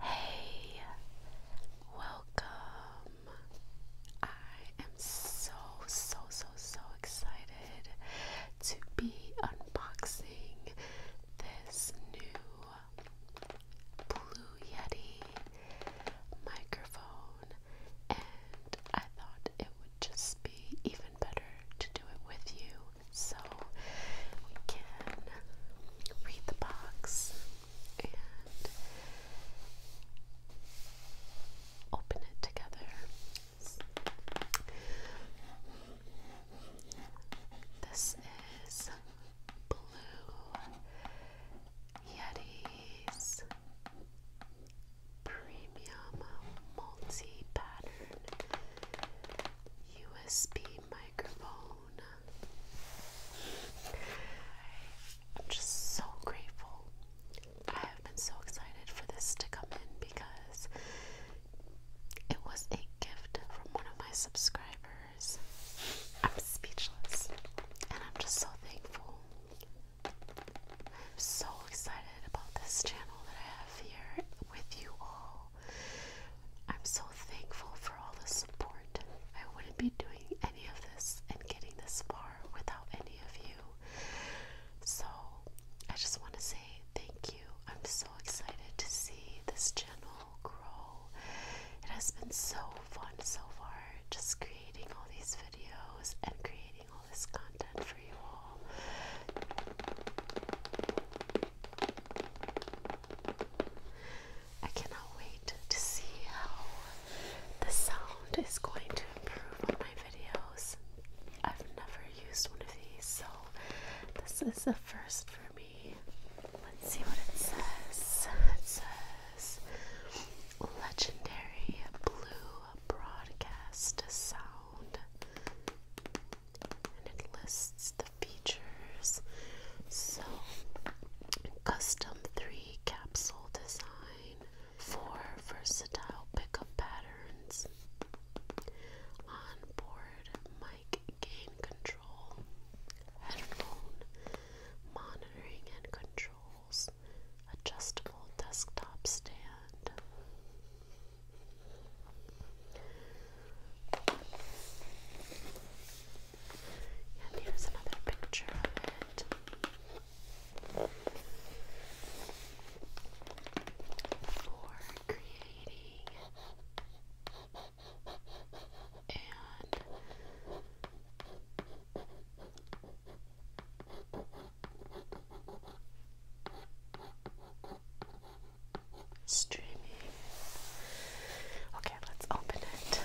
Hey, welcome. I am so, so, so, so excited to be unboxing this new Blue Yeti microphone, and I thought it would just be even better to do it with you so we can read the box and open it together. This is Blue Yeti's Premium Multi Pattern USB microphone. I'm just so grateful. I have been so excited for this to come in because it was a gift from one of my subscribers. I'm speechless and I'm just so thankful I'm so excited about this channel that I have here with you all. I'm so thankful for all the support. I wouldn't be doing any of this and getting this far without any of you. So, I just want to say thank you. I'm so excited to see this channel grow. It has been so fun so far just creating all these videos and creating this I cannot wait to see how the sound is going to improve on my videos. I've never used one of these, so this is the first for me. Let's see what It says legendary blue broadcast sound, and it lists the features. So, custom three capsule design, four versatile pickup patterns, onboard mic gain control, headphone monitoring and control adjustable desktop stand. And here's another picture of it. For creating streaming. Okay, let's open it.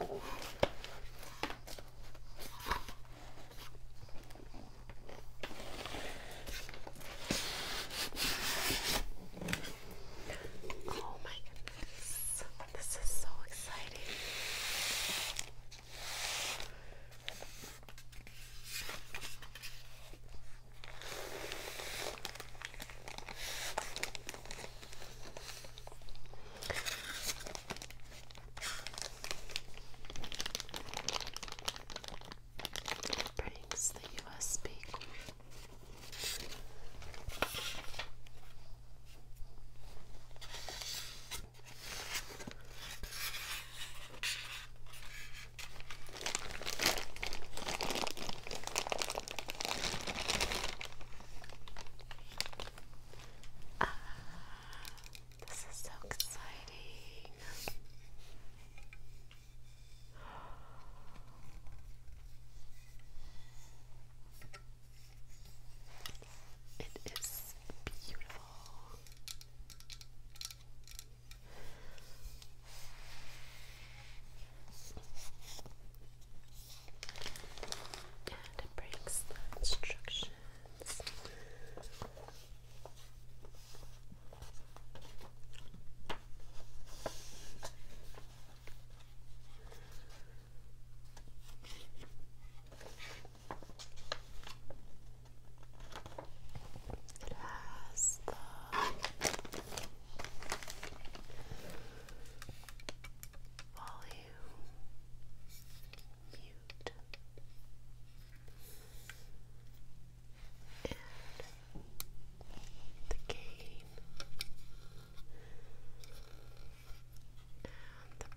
Oh my goodness. This is so exciting. Brings the USB cord. Ah, this is so exciting. It is beautiful. And it breaks the instructions. Okay. It has the volume mute and the gain and the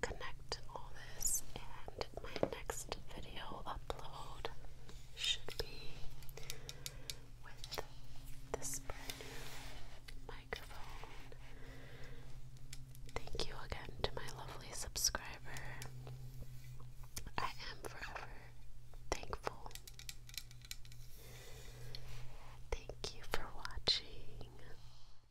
connect all this, and my next video upload should be with this brand new microphone. Thank you again to my lovely subscriber. I am forever thankful. Thank you for watching.